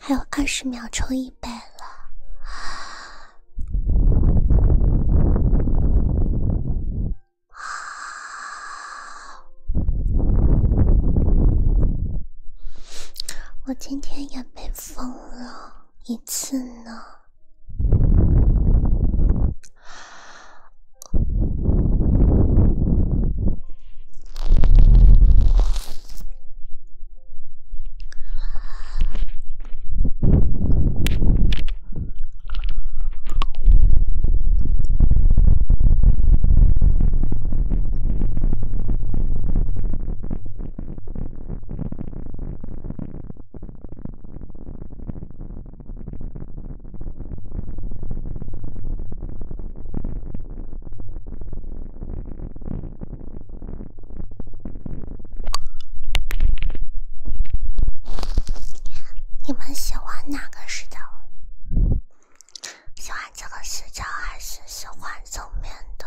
还有二十秒冲一百了，我今天也没。疯了一次呢。你们喜欢哪个视角？喜欢这个视角还是？喜欢煮面的。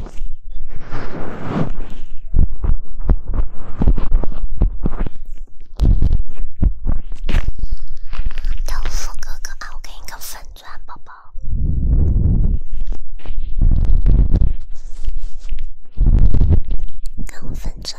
豆腐哥哥啊，我给你个粉钻宝宝，给粉钻。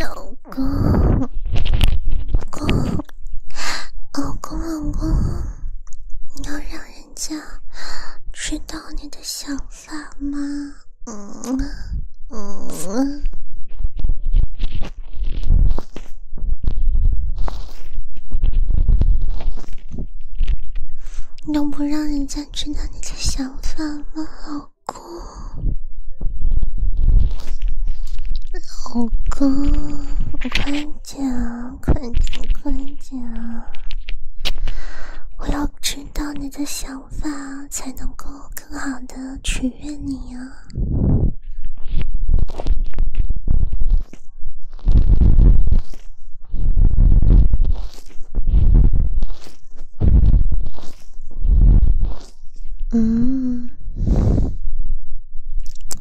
老公，老公，老公，老公，你要让人家知道你的想法吗？嗯嗯，能不让人家知道你的想法吗，老公？老公，快讲，快点，快啊，我要知道你的想。发才能够更好的取悦你呀。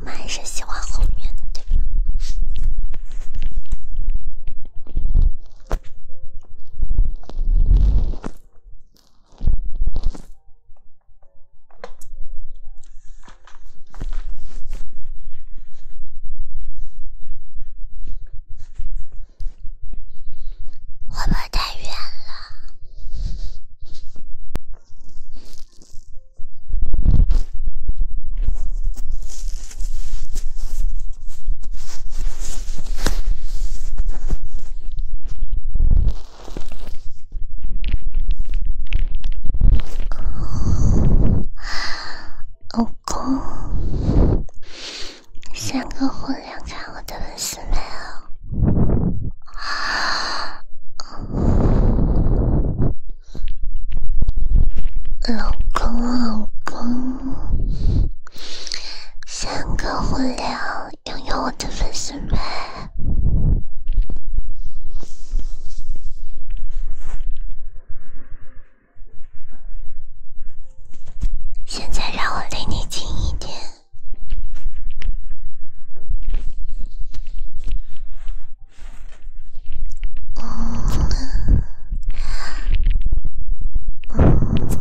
还是喜欢后面的，对吧？会不会太远了？老公，三个互连，看我的粉丝没有？老公，老公，三个互连。拥有我的粉丝们，现在让我离你近一点。哦，哦。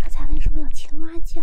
刚才为什么有青蛙叫？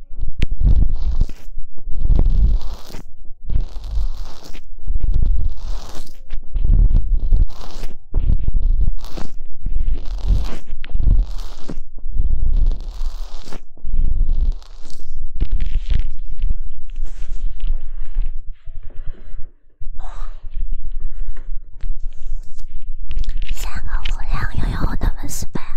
三个姑娘又有那么失败？啊。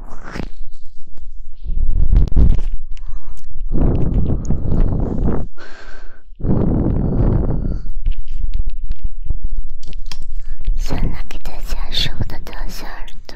现在给大家说我的大小耳朵。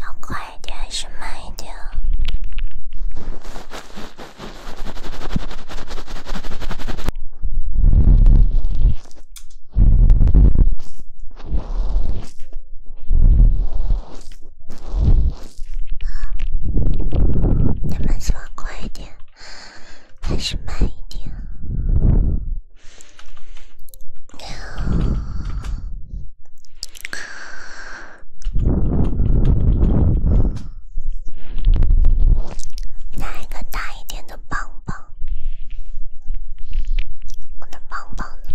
要快一点还是慢一点？你们喜快一点。还是慢一点。来一个大一点的棒棒，我的棒棒呢？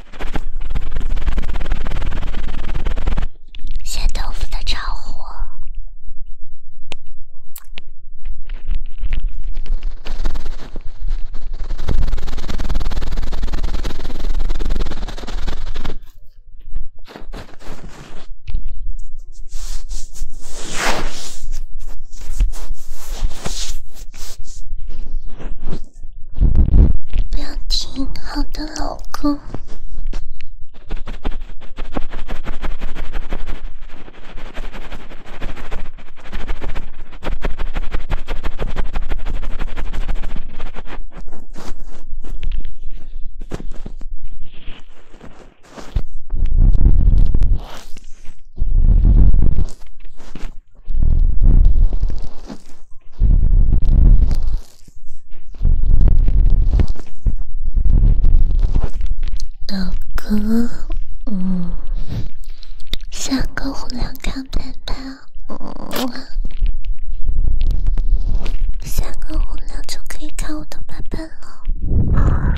咸豆腐的超火。不要停，好的，老公。大哥，嗯，下个红娘看片片，嗯，下个红娘就可以看我的片片了。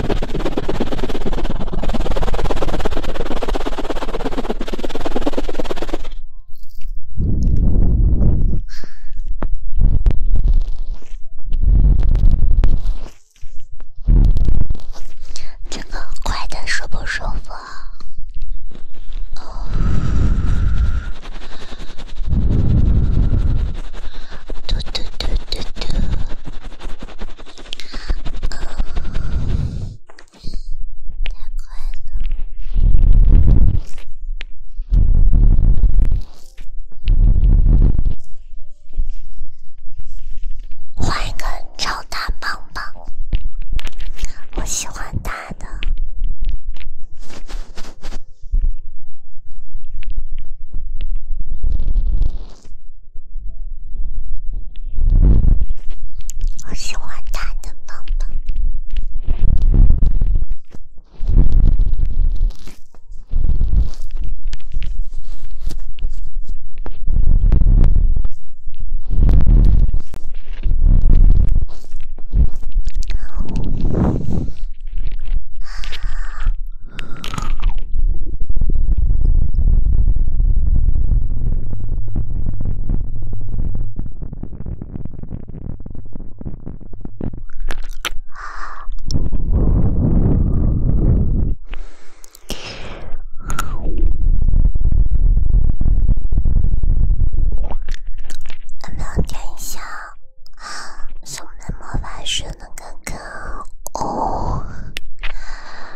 这么快的，舒不舒服？嘟嘟嘟嘟嘟。太快了！换一根超大棒棒，我喜欢大的。我喜欢他的棒棒。能不能点一下《我们的魔法学院》哥哥？哦。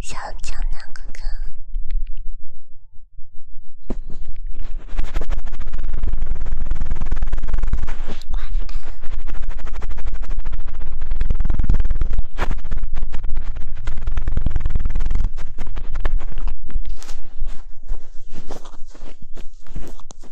小江南哥哥。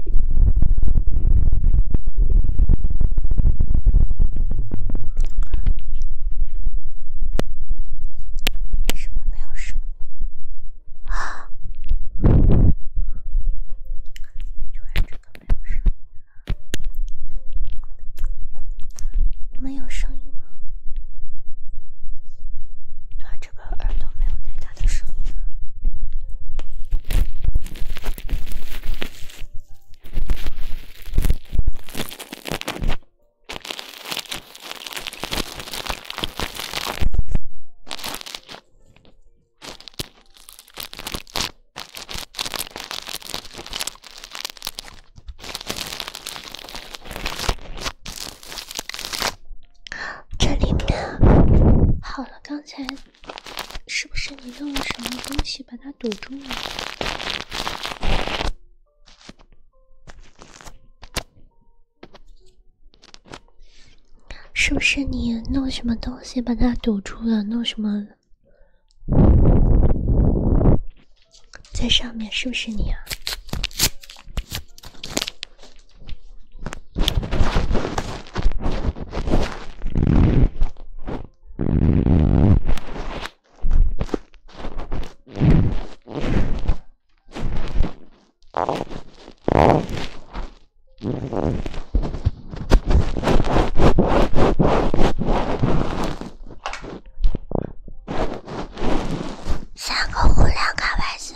为什么没有声？啊！就这个没有声。没有声音吗？就这个耳朵没有太大的声音。了。这里面，好了，刚才。是不是你弄了什么东西把它堵住了？是不是你弄什么东西把它堵住了？弄什么在上面？是不是你啊？三个互联开玩笑。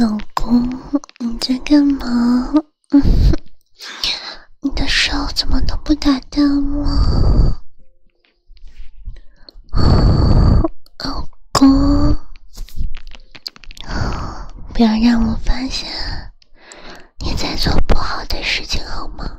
老公，你在干嘛？你的手怎么都不打灯了？老公，不要让我发现你在做不好的事情，好吗？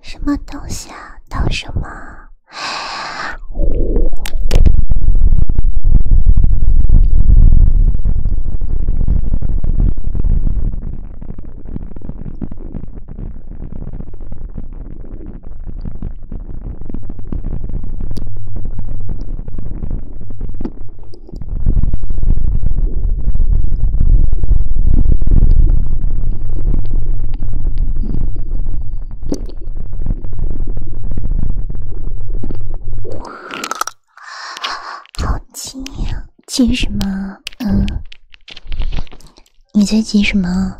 什么东西啊？到什么？好急呀！急什么？嗯，你在急什么？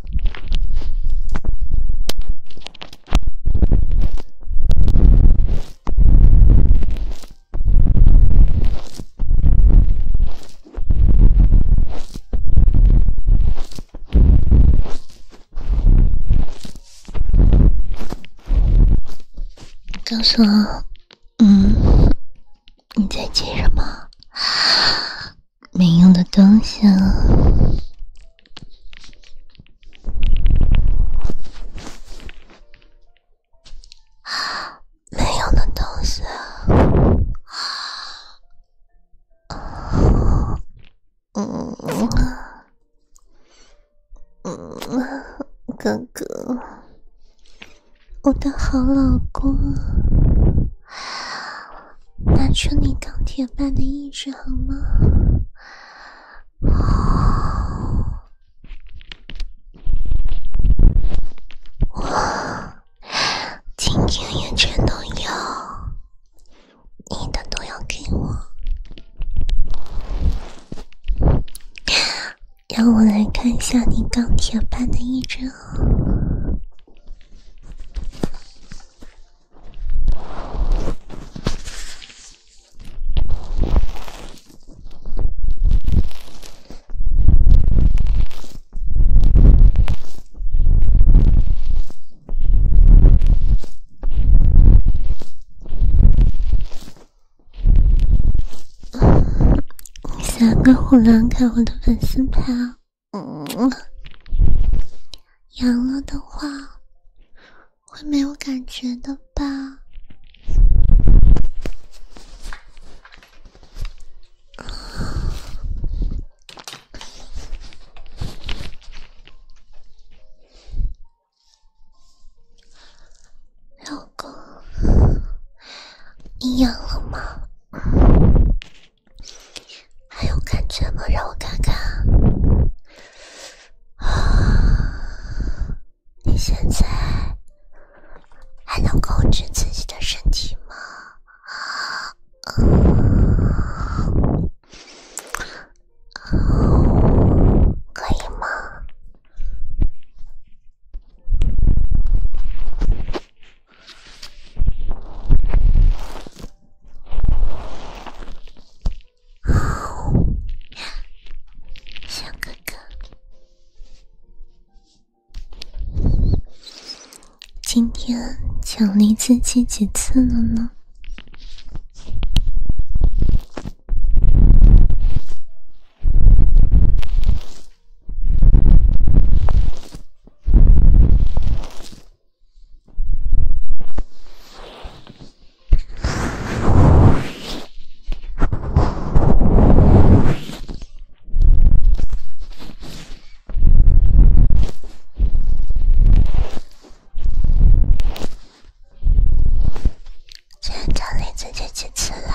告诉我，嗯，你在记什么？没用的东西。没有的东西。嗯嗯，哥哥，我的好老公拿出你钢铁般的意志好吗？我。今天也全都有，你的都要给我，让我来看一下你钢铁般的意志哦。三个虎狼看我的粉丝牌，嗯，阳了的话会没有感觉的吧？老公，你了吗？还有感觉吗？让我看看。你现在还能控制自己的身体吗？啊，可以吗？好，小哥哥。今天奖励自己几次了呢？训练自己几次了？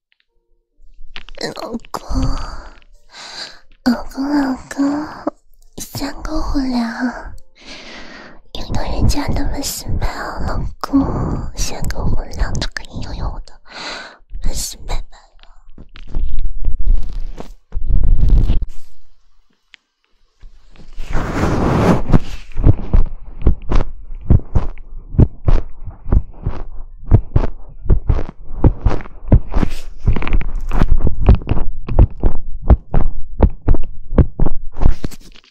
老公，老公，老公，三个火两，有到人家那么 s m i 老公三个火两就可以拥有我的粉丝拜拜了。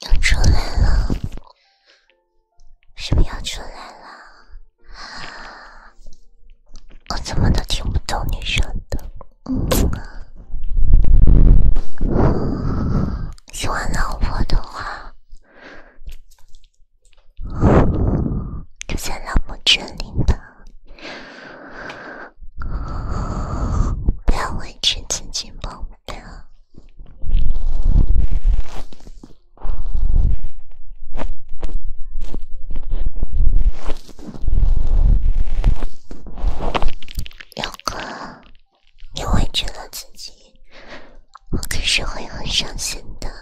要出来了？是不是要出来了？我怎么都听不懂你说的。喜欢老婆的话。就在老木镇里吧，不要委屈自己，宝贝。勇哥，你委屈了自己，我可是会很伤心的。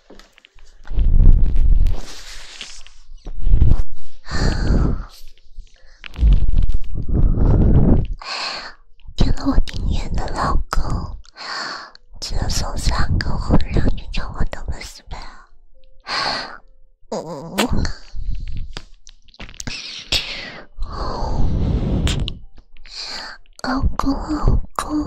天哪！我丁原的老公，只能三个红，让你叫我怎么死的？老公，老公。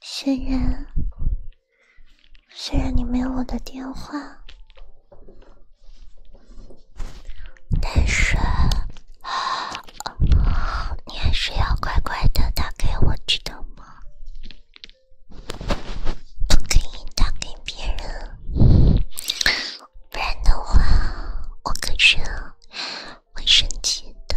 虽然虽然你没有我的电话，但是你还是要乖乖的打给我，知道吗？不可以打给别人。不然的话，我可是会生气的。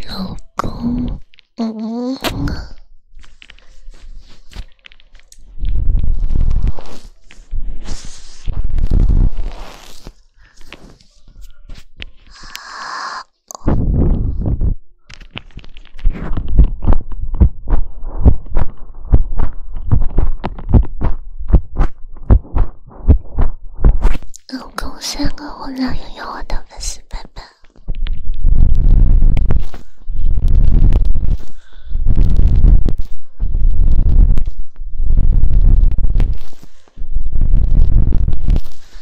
老公，嗯。总共三个我男朋友的粉丝宝宝。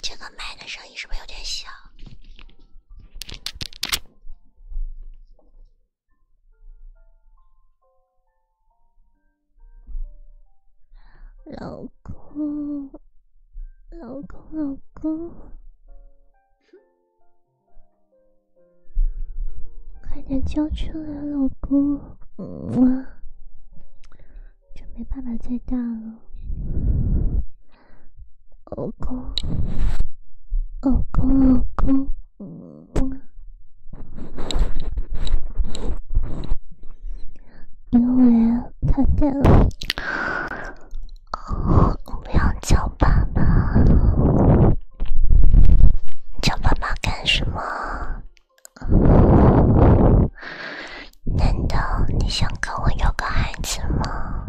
这个麦的声音是不是有点小？老公，老公，老公，快点交出来，老公！嗯，就没办法再大了，老公，老公，老公，嗯。因为太累了，哦，要叫爸爸，叫爸爸干什么？难道你想跟我有个孩子吗？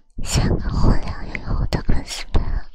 像个火燎又无的粉丝们，个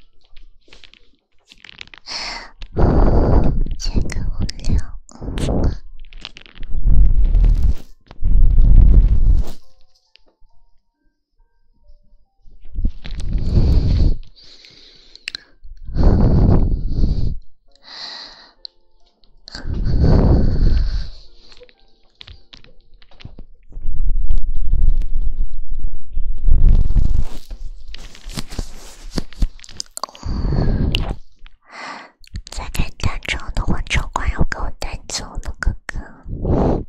在开大招的话，丑怪要给我带走了哥哥。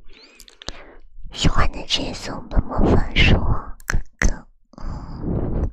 喜欢的直接送本魔法书，哥哥。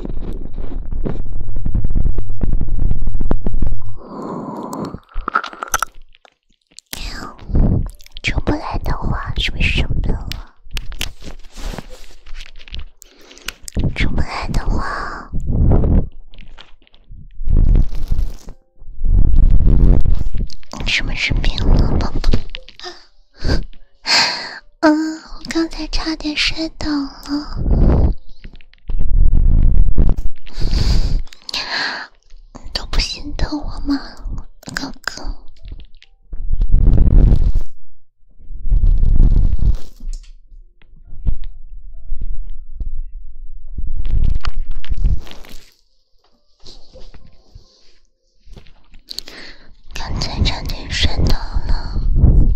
出不来的话，是不是生病了？出不来的话，是不是病了？嗯，我刚才差点摔倒了，你都不心疼我吗，哥哥？刚才差点摔倒了。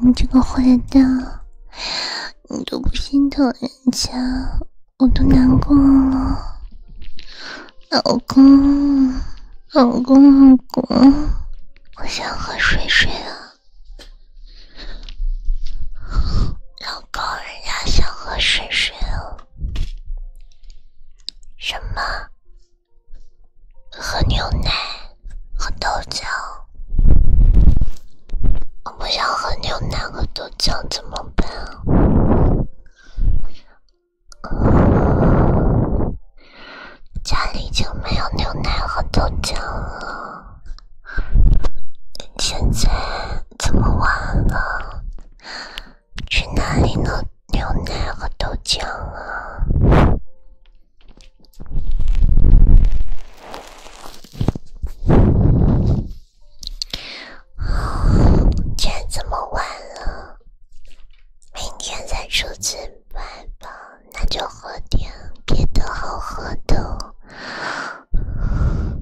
你这个坏蛋，你都不心疼人家，我都难过了。老公，老公，老公，我想喝水水啊。老公，人家想喝水水哦。什么？喝牛奶，喝豆浆。我不想喝牛奶喝豆浆，怎么办？家里已经没有牛奶和豆浆了。现在这么晚了，去哪里弄牛奶和豆浆啊？哦，现这么晚了，明天再出去买吧。那就喝点别的好喝的，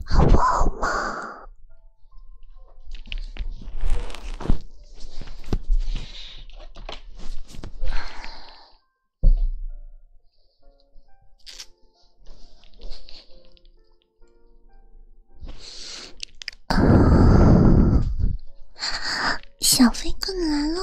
好不好嘛？小飞棍来喽！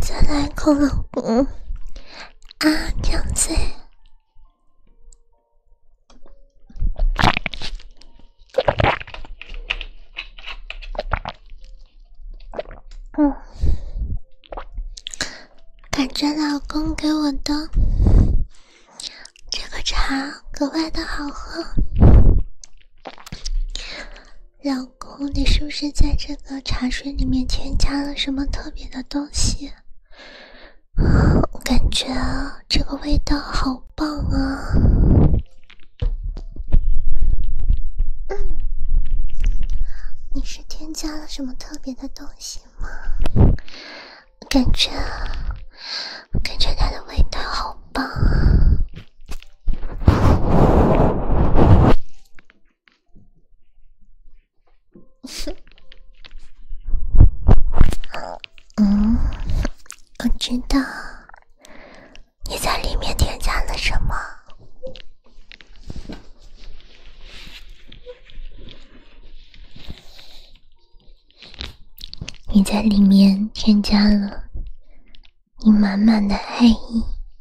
再来一口老公啊，这样子。嗯，感觉老公给我的这个茶格外的好喝。老公，你是不是在这个茶水里面添加了什么特别的东西？我感觉这个味道好棒啊！嗯，你是添加了什么特别的东西吗？感觉感觉它的味道好棒啊！嗯，我知道，你在里面添加了什么？你在里面添加了你满满的爱意。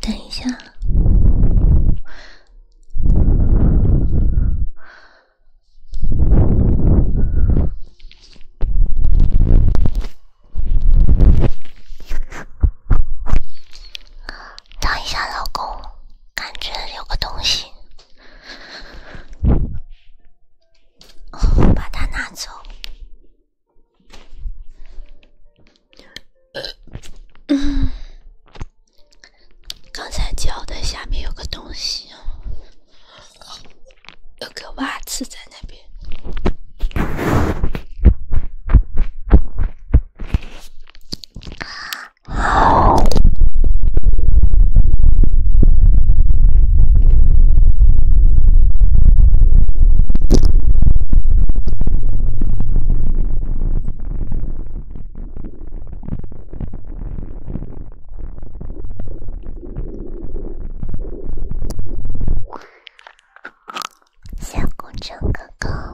等一下，等一下，老公，感觉有个东西，把它拿走。刚才嚼的下面有个东西，有个袜子在那边。小工程哥哥。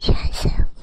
全是风。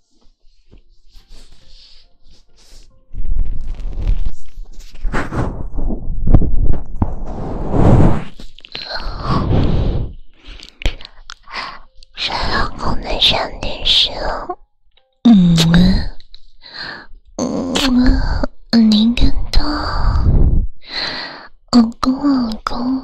老公，老公能上电视了。嗯嗯，你跟到，老公，老公。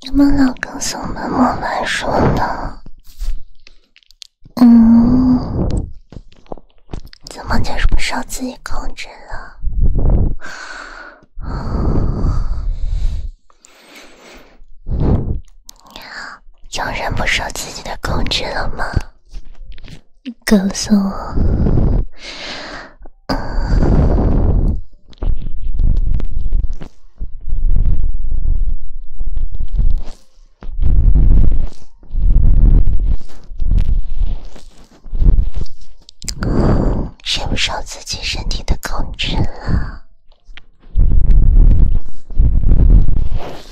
你们老告诉我们莫玩手机，嗯，怎么就是不让自己控制了？有人不受自己的控制了吗？告诉我，谁不受自己身体的控制了？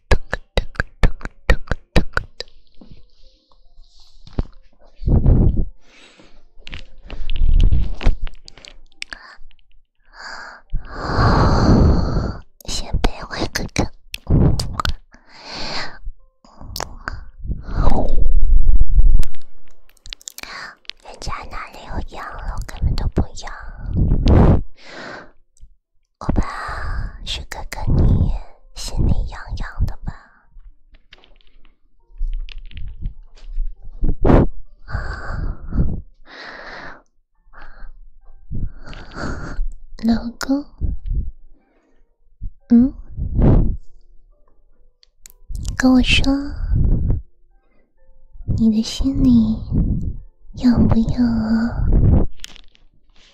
噔噔噔噔噔噔噔！啊啊！先陪坏哥哥。人家哪里有羊了，根本都不养。我怕是哥哥你心里痒痒的吧，老公，嗯，跟我说，你的心里痒不痒啊？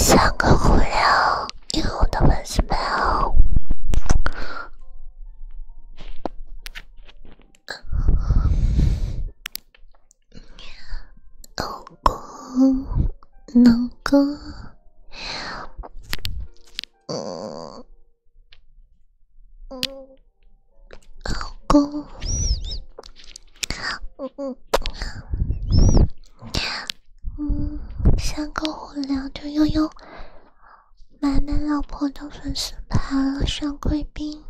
三个姑娘，用我的本事秒。如果能够，嗯，嗯。老公，嗯嗯，嗯，三个火聊就悠悠，满满老婆的粉丝牌了，上贵宾，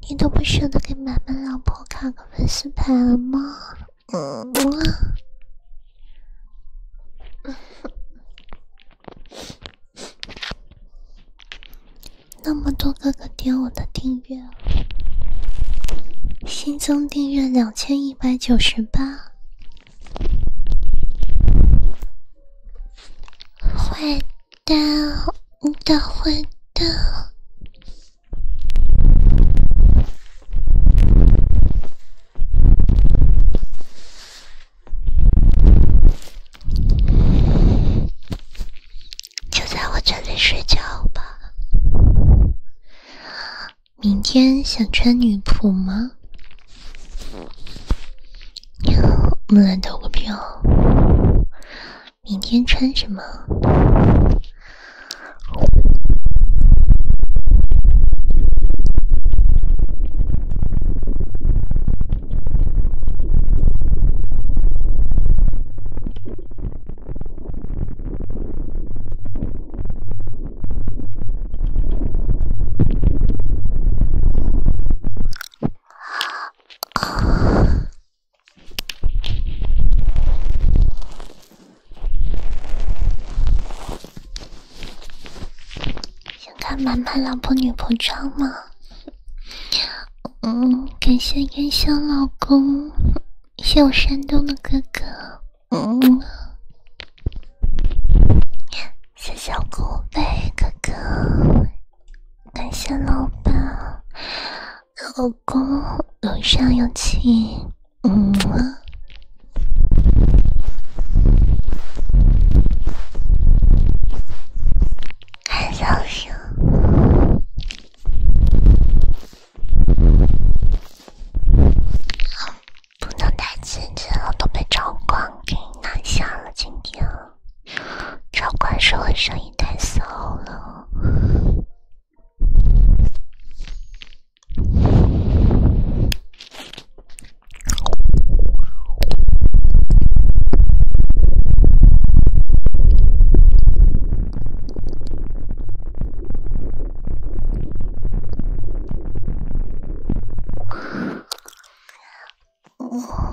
你都不舍得给满满老婆看个粉丝牌了吗？嗯。那么多哥哥点我的订阅，新增订阅两千一百九十八，坏蛋，你的坏蛋。就在我这里睡觉吧。明天想穿女仆吗？我们来投个票。明天穿什么？想看《满满老婆女仆装》吗？嗯，感谢烟香老公，谢我山东的哥哥，嗯，谢小狗背哥哥，感谢老板，老公，有上有气，嗯。看小说，不能太刺激了，都被赵光给拿下了。今天赵光说我声音太骚了。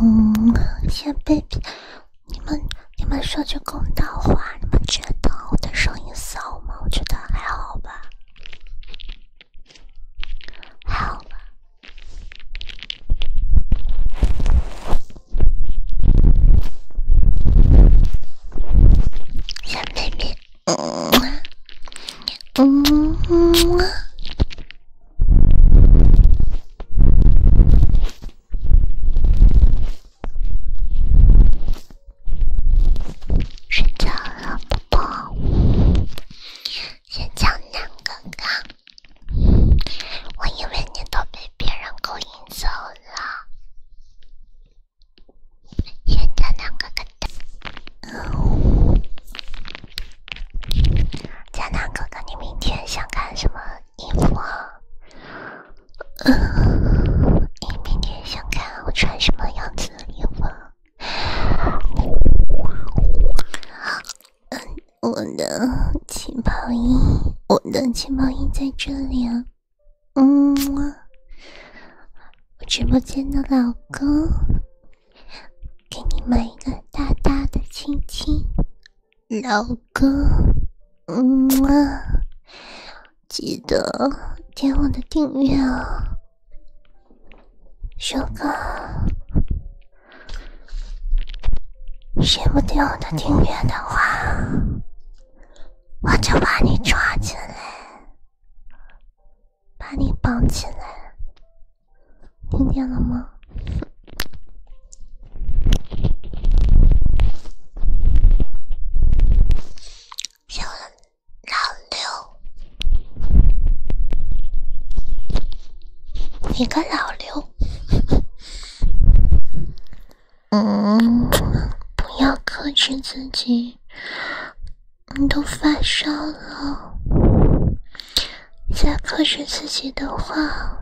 嗯，小 baby，你们你们说句公道话，你们觉得我的声音骚吗？我觉得还好吧，还好吧。小妹妹，睡觉了，宝宝。小江南哥哥。我以为你都被别人勾引走了。亲爱的南哥哥，嗯，南哥哥，你明天想看什么衣服？嗯，你明天想看我穿什么样子的衣服？我的气泡音，我的气泡音在这里啊。嗯，我直播间的老公，给你一个大大的亲亲，老公。嗯嘛，记得点我的订阅哦，小哥。听不听我的订阅的话，我就把你抓起来，把你绑起来，听见了吗？小个老刘！嗯，不要克制自己，你都发烧了。再克制自己的话，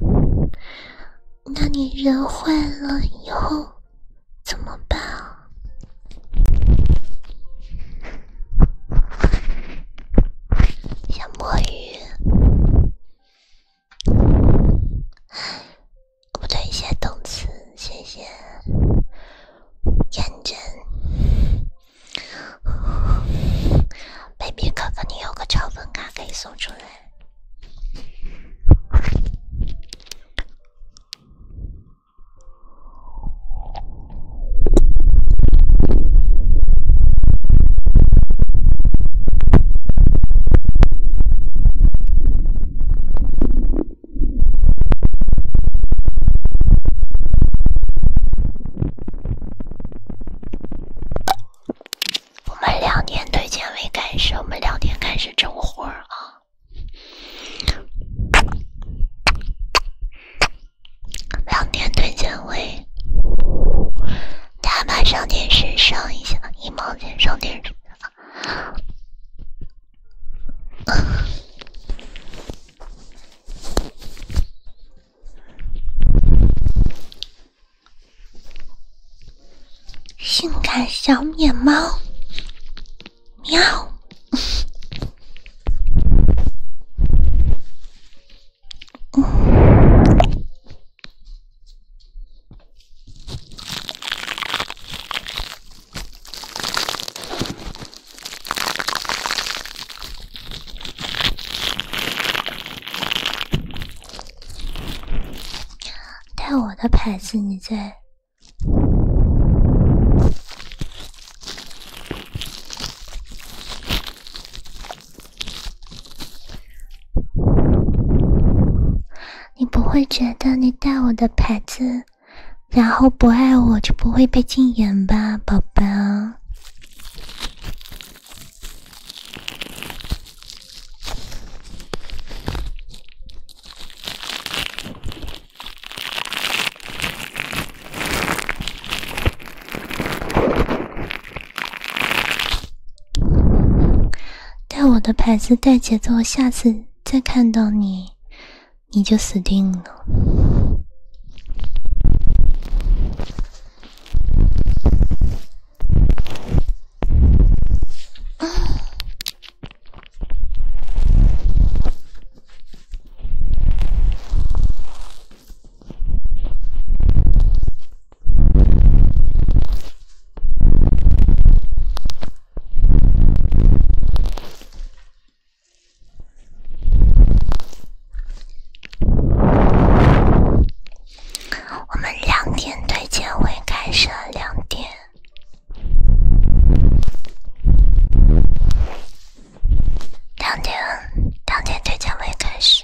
那你人坏了以后怎么办啊？想摸鱼。不 对，一些动词，谢谢，认真，baby 哥哥，你有个超粉卡可以送出来。我们两点推荐会开始，我们两点开始整活啊！两点推荐会。咱马上电视上一下，一毛钱上电视。性感小野猫，喵！带我的牌子，你在。你不会觉得你带我的牌子，然后不爱我就不会被禁言吧，宝宝？带我的牌子，带节奏！下次再看到你，你就死定了。我们两点推荐会开始两点，两点，两点推荐会开始。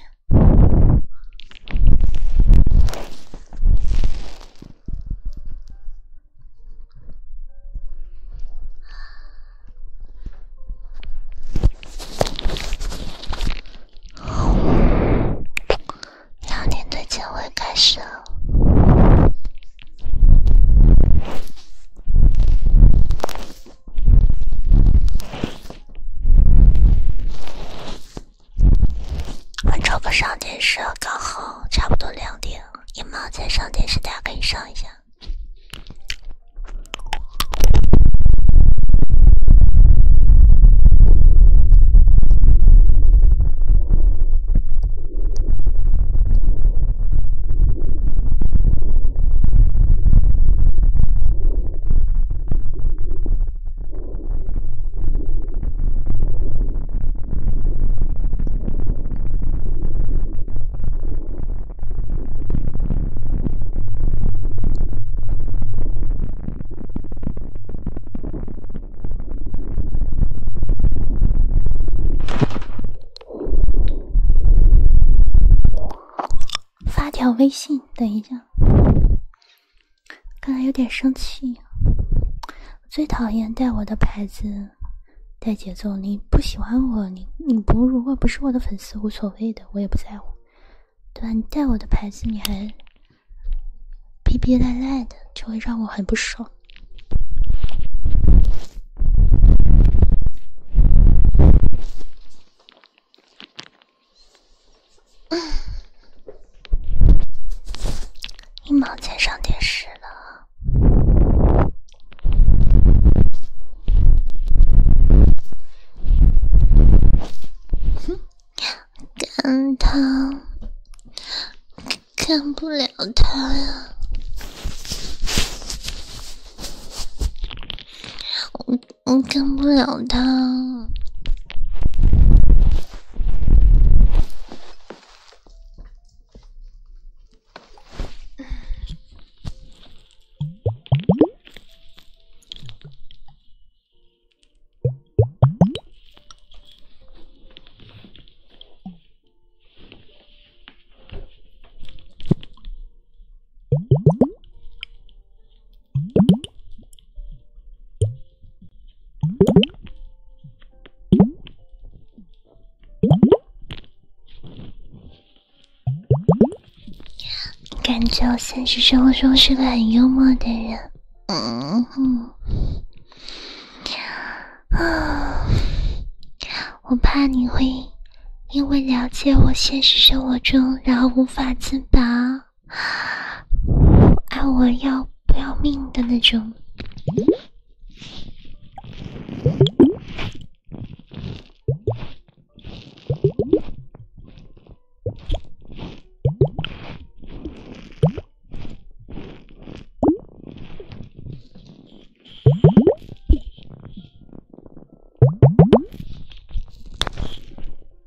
两点对接会开始了。我找个上电视，刚好差不多两点，你妈在上电视，大家可以上一下。发条微信，等一下。刚才有点生气，我最讨厌带我的牌子带节奏。你不喜欢我，你你不如果不是我的粉丝，无所谓的，我也不在乎，对吧？你带我的牌子，你还逼逼赖赖的，就会让我很不爽。一毛钱上电视了，干他！干不了他呀。我干不了他。感觉我现实生活中是个很幽默的人。嗯哼，啊，我怕你会因为了解我现实生活中，然后无法自拔。爱我要不要命的那种。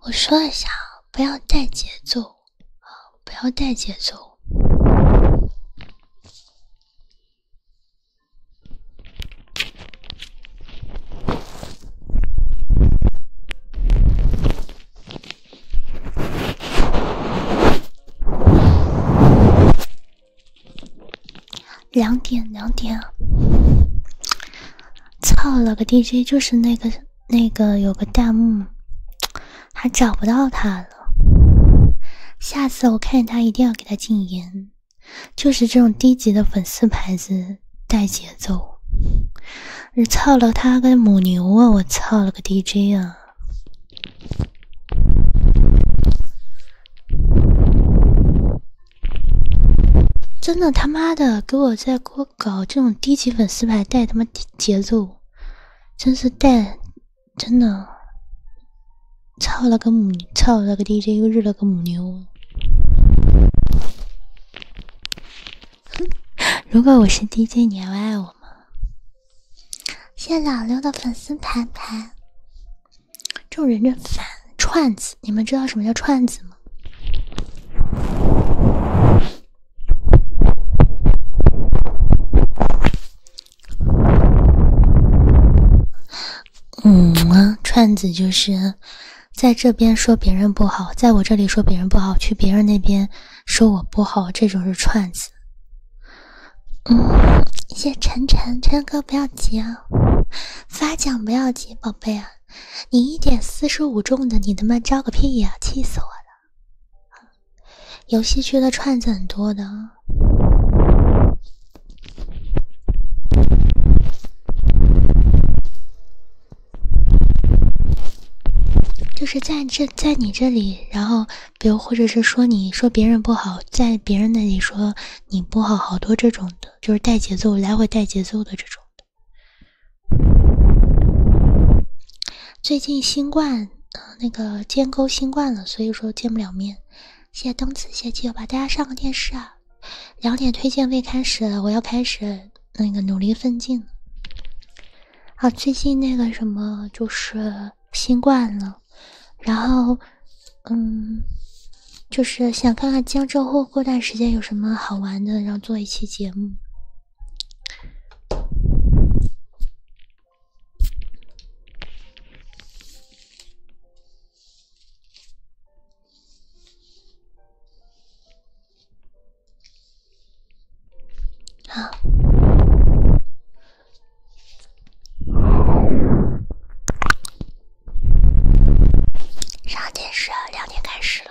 我说一下，不要带节奏，啊，不要带节奏。两点两点操了个 DJ，就是那个那个有个弹幕，还找不到他了。下次我看见他一定要给他禁言。就是这种低级的粉丝牌子带节奏，你操了他个母牛啊！我操了个 DJ 啊！真的他妈的给我在给我搞这种低级粉丝牌带他妈节奏，真是带，真的，操了个母操了个 DJ 又日了个母牛。如果我是 DJ，你还爱我吗？谢谢老六的粉丝牌牌。这种人真烦，串子。你们知道什么叫串子吗？嗯串子就是在这边说别人不好，在我这里说别人不好，去别人那边说我不好，这种是串子。嗯，谢晨晨，晨哥不要急啊，发奖不要急，宝贝啊，你一点四十五中的，你他妈招个屁呀，气死我了！游戏区的串子很多的，就是在这，在你这里，然后。比如，或者是说，你说别人不好，在别人那里说你不好，好多这种的，就是带节奏，来回带节奏的这种的。最近新冠，呃、那个监沟新冠了，所以说见不了面。谢谢东子，谢基友吧，大家上个电视啊。两点推荐未开始，我要开始那个努力奋进。啊，最近那个什么，就是。新冠了，然后，嗯，就是想看看江浙沪过段时间有什么好玩的，然后做一期节目。好，啥电视？两点开始了。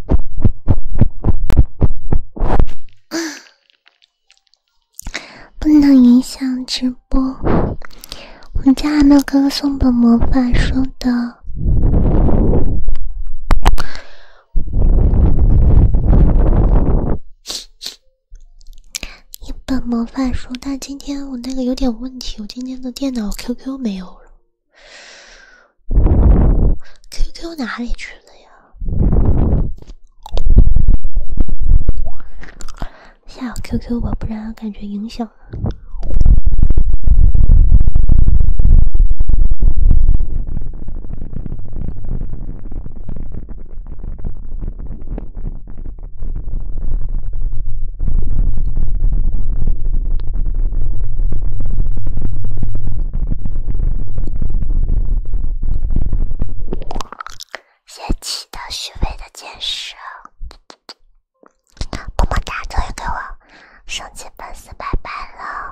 不能影响直播。我们家阿妙哥哥送本魔法书的，一本魔法书。但今天我那个有点问题，我今天的电脑 QQ 没有了。Q Q 哪里去了呀？下我 Q Q 吧，不然感觉影响。嫌弃的、虚伪的、奸商，么么哒！终于给我升级粉丝白班了。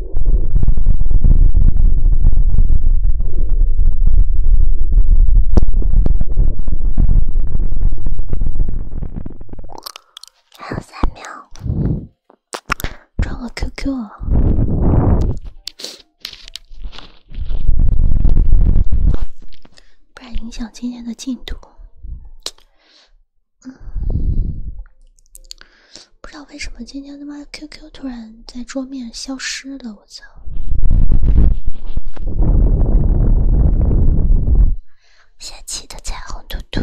还有三秒，创个 QQ 不然影响今天的进度。嗯。不知道为什么今天他妈 QQ 突然在桌面消失了，我操！下期的彩虹图图。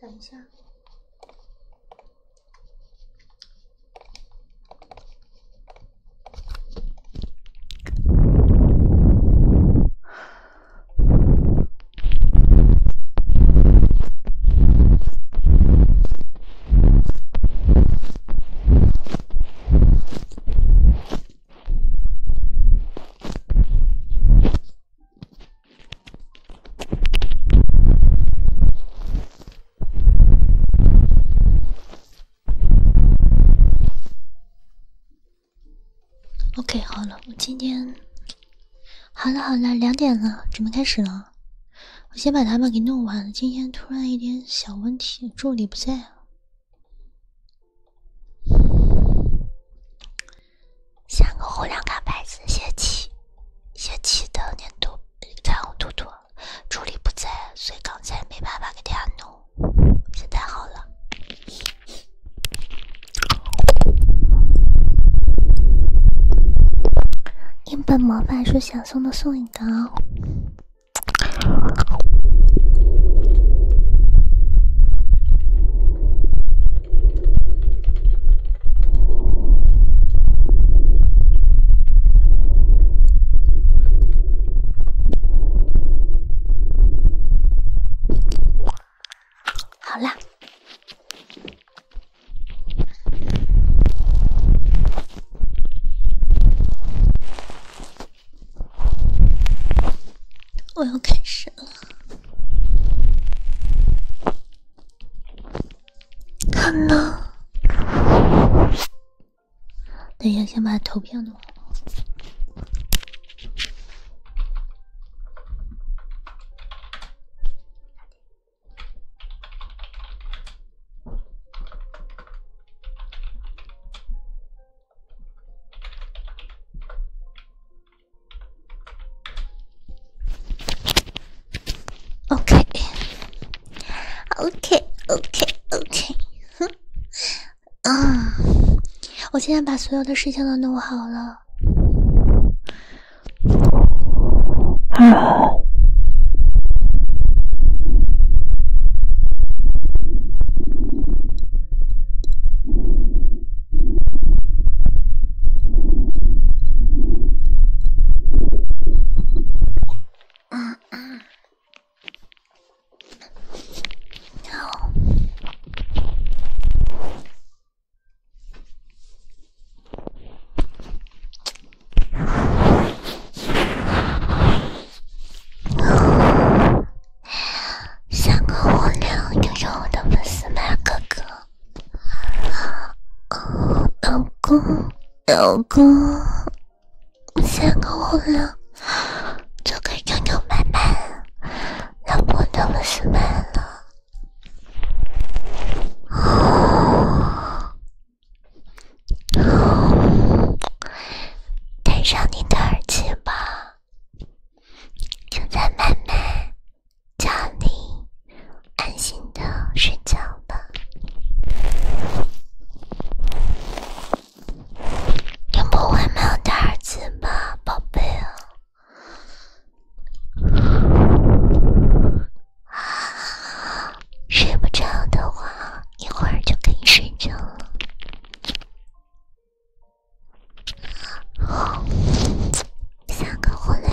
等一下。OK，好了，我今天好了好了，两点了，准备开始了。我先把他们给弄完。今天突然一点小问题，助理不在啊。像个红两卡子泄气，泄气的难度彩虹兔兔，助理不在，所以刚才没办法给大家弄，现在好了。一本魔法书想送的送一个哦。好了，我要开始了。看呢，等一下，先把图片弄好。o k o k o k o k 哼，啊，我现在把所有的事情都弄好了。嗯。喵。喵。三个五六，拥有我的粉丝们哥哥。老公，老公，先给我了，就给妞妞买买，老婆那么斯文了。哦，戴上你的耳机吧。就在妹妹家里安心的睡觉吧。你不会没有戴耳机吧，宝贝啊！睡不着的话，一会儿就可以睡着了。三个红娘，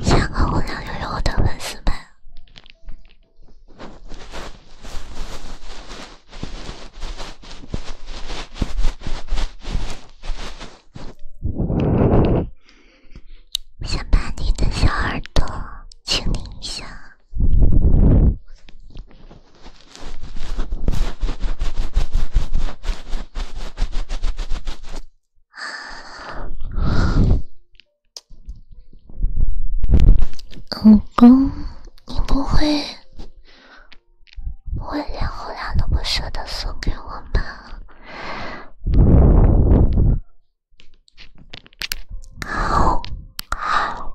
三个红娘又有我的粉丝们，想把你的小耳朵清理一下。老公，你不会不会连后俩都不舍得送给我吧？好，好。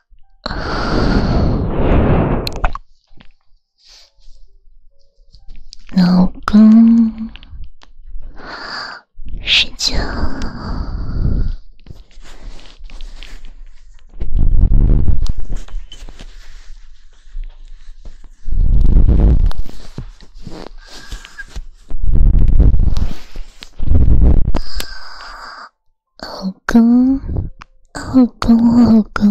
老公，睡觉。老公，老公，老公，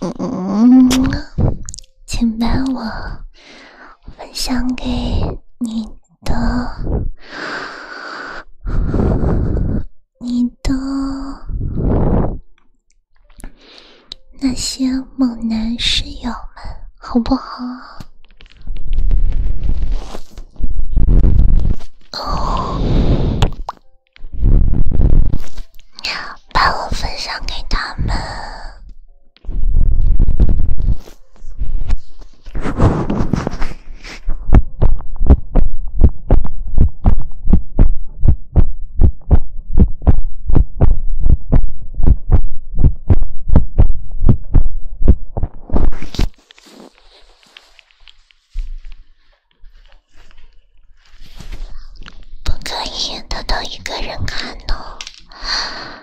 嗯嗯。请把我分享给你的、你的那些猛男室友们，好不好？哦，把我分享给他们。不可以偷偷一个人看哦。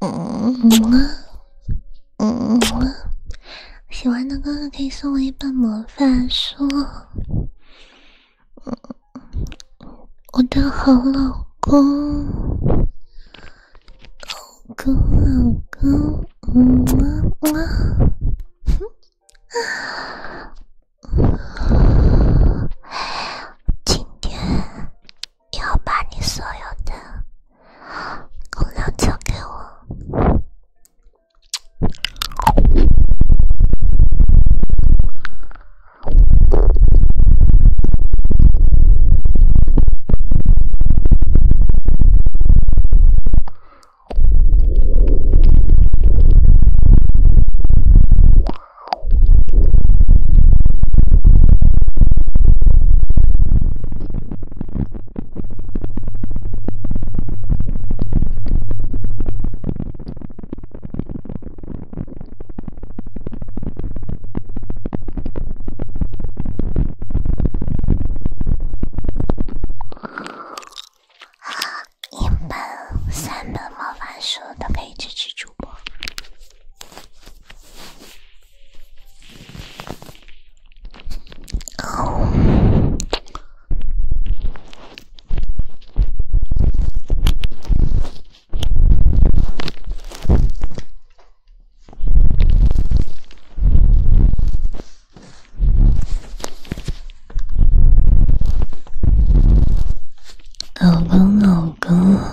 嗯嗯嗯喜欢的哥哥可以送我一本魔法书。嗯，我的好老公，老公，老公，嗯嗯嘛。今天要把你所有的。功劳交给我。啊，一本、三本魔法书都可以支持主播。老公，老公。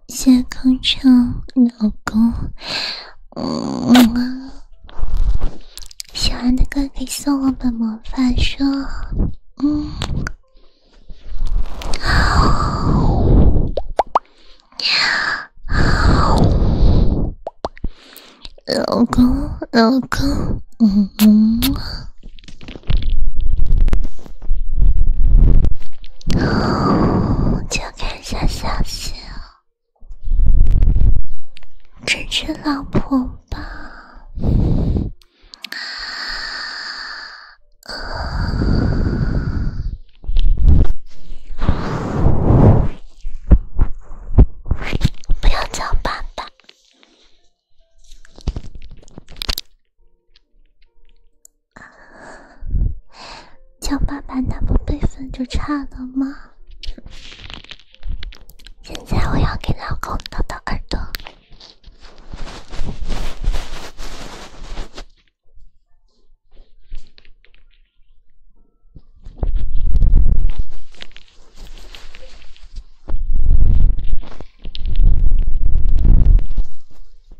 谢空城老公，嗯，喜欢的歌可以送我本魔法书，嗯，老公，老公，嗯。哦，就看一下消息，支持老婆吧。呃，不要叫爸爸。叫爸爸，那不辈分就差了吗？现在我要给老公掏掏耳朵。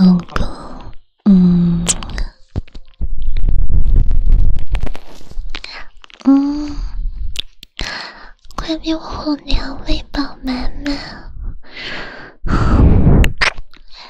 公主，嗯，嗯，快被我后娘喂饱满满。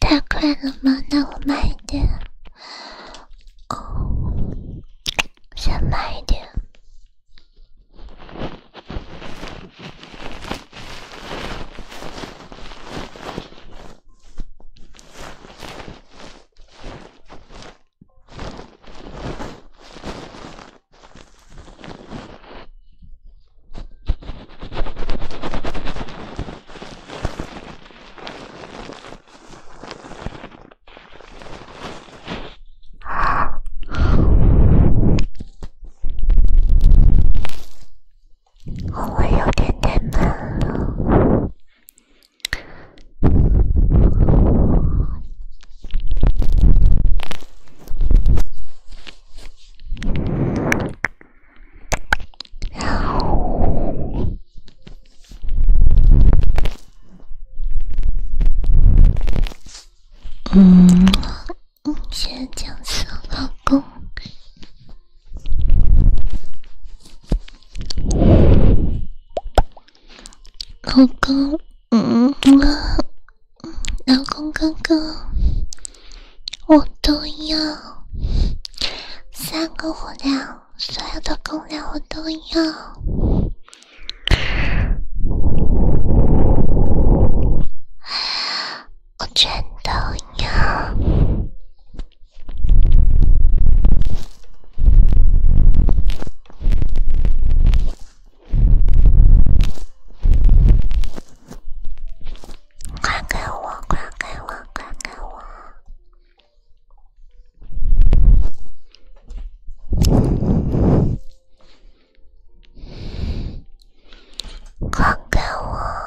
太快了吗？那我慢一点，哦，先慢一点。啊，我有点太忙了。嗯，先讲诉老公，老公，嗯啊，老公哥哥。我都要三个火疗，所有的功效我都要，我全都要。快给我！快给我！快给我！快给我！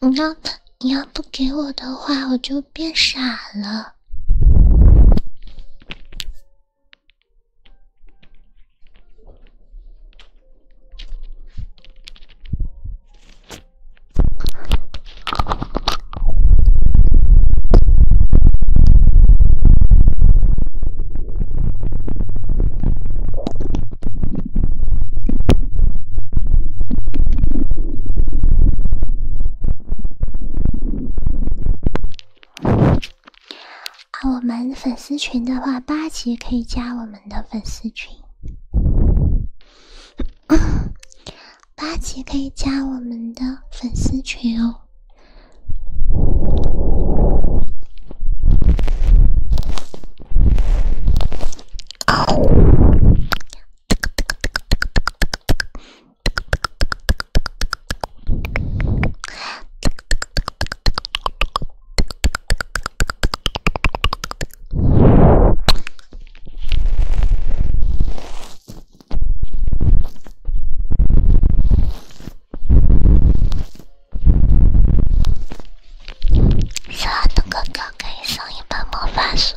你要，你要不给我的话，我就变傻了。啊，我们粉丝群的话，八级可以加我们的粉丝群，八级可以加我们的粉丝群哦。三个哥哥可以送一本魔法书。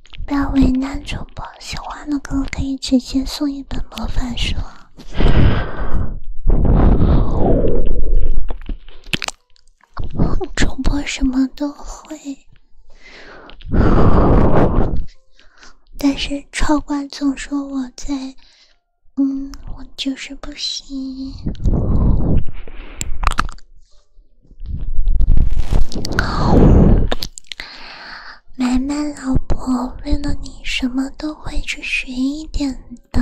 不要为难主播，喜欢的歌可以直接送一本魔法书。主播什么都会，但是超管总说我在，嗯，我就是不行。满满老婆，为了你，什么都会去学一点的。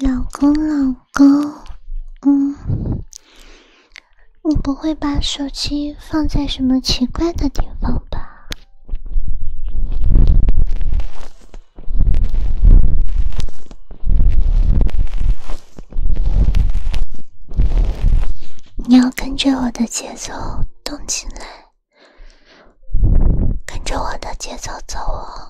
老公，老公，嗯，你不会把手机放在什么奇怪的地方吧？你要跟着我的节。节奏动起来，跟着我的节奏走哦！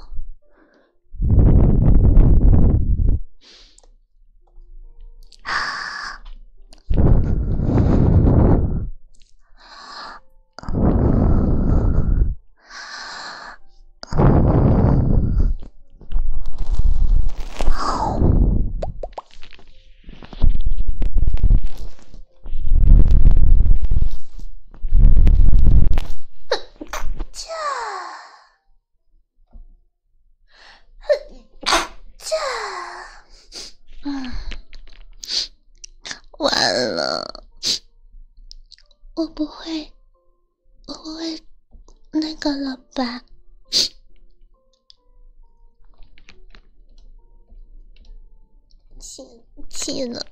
哼，这，哼，这，完了，我不会，我不会那个了吧？气气了，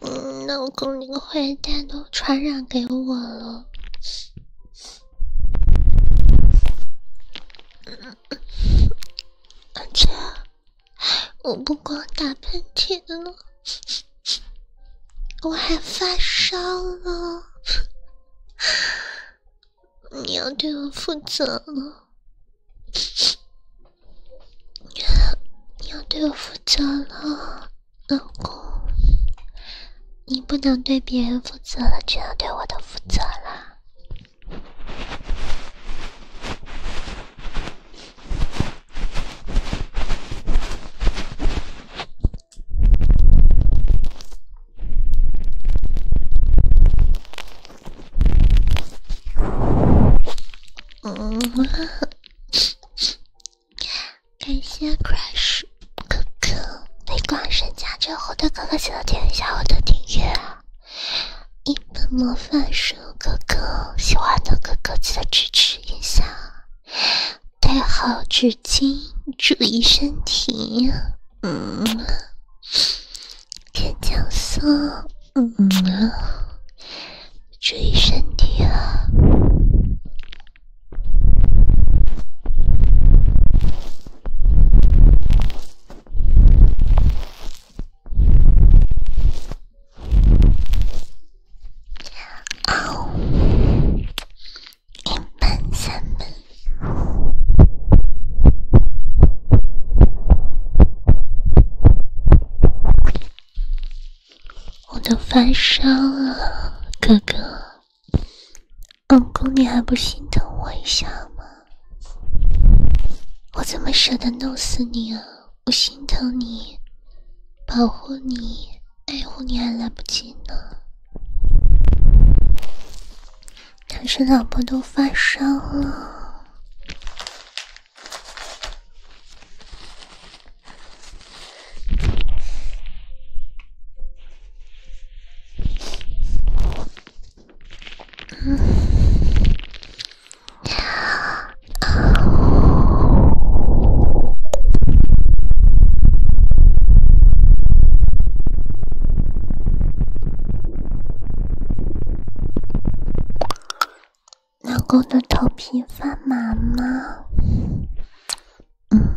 嗯，那我跟你个坏蛋都传染给我了。而且，我不光打喷嚏了。我还发烧了，你要对我负责了，你要对我负责了，老公，你不能对别人负责了，只能对我的负责了。感谢 Crash 哥哥，没广神加之后的哥哥记得点一下我的订阅啊，一本模范书哥哥喜欢的哥哥记得支持一下。带好纸巾，注意身体。嗯，天降送，嗯，注意身体啊。哦，阴门三门，我都发烧了，哥哥，老公你还不心疼我一下吗？我怎么舍得弄死你啊？我心疼你，保护你。爱护你还来不及呢，但是老婆都发烧了。嗯，啊老公的头皮发麻吗？嗯。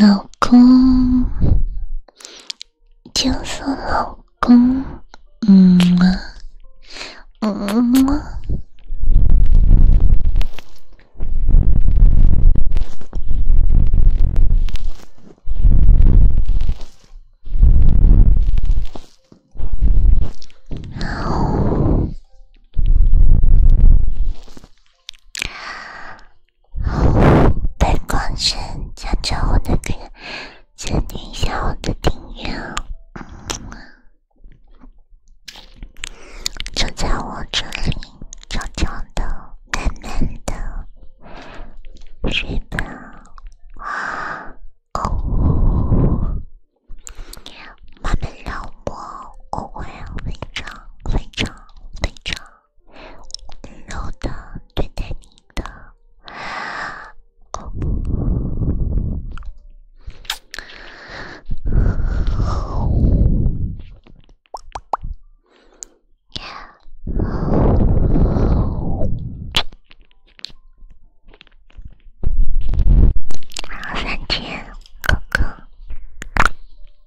老公，就是老公，嗯，嗯。哦，灯光声加着我的歌，暂停一下我的订阅，就在我这里，悄悄的，慢慢的睡吧。哦，慢慢聊。我我会非常非常非常温柔的对待你的，好，三天，哥哥。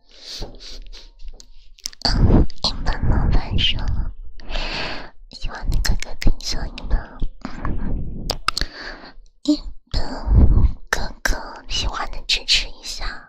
一本魔法书，喜欢的哥哥可以送一本。一本哥哥喜欢的支持一下。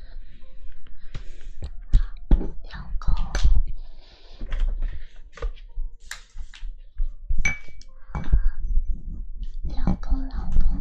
老公，老公，老公。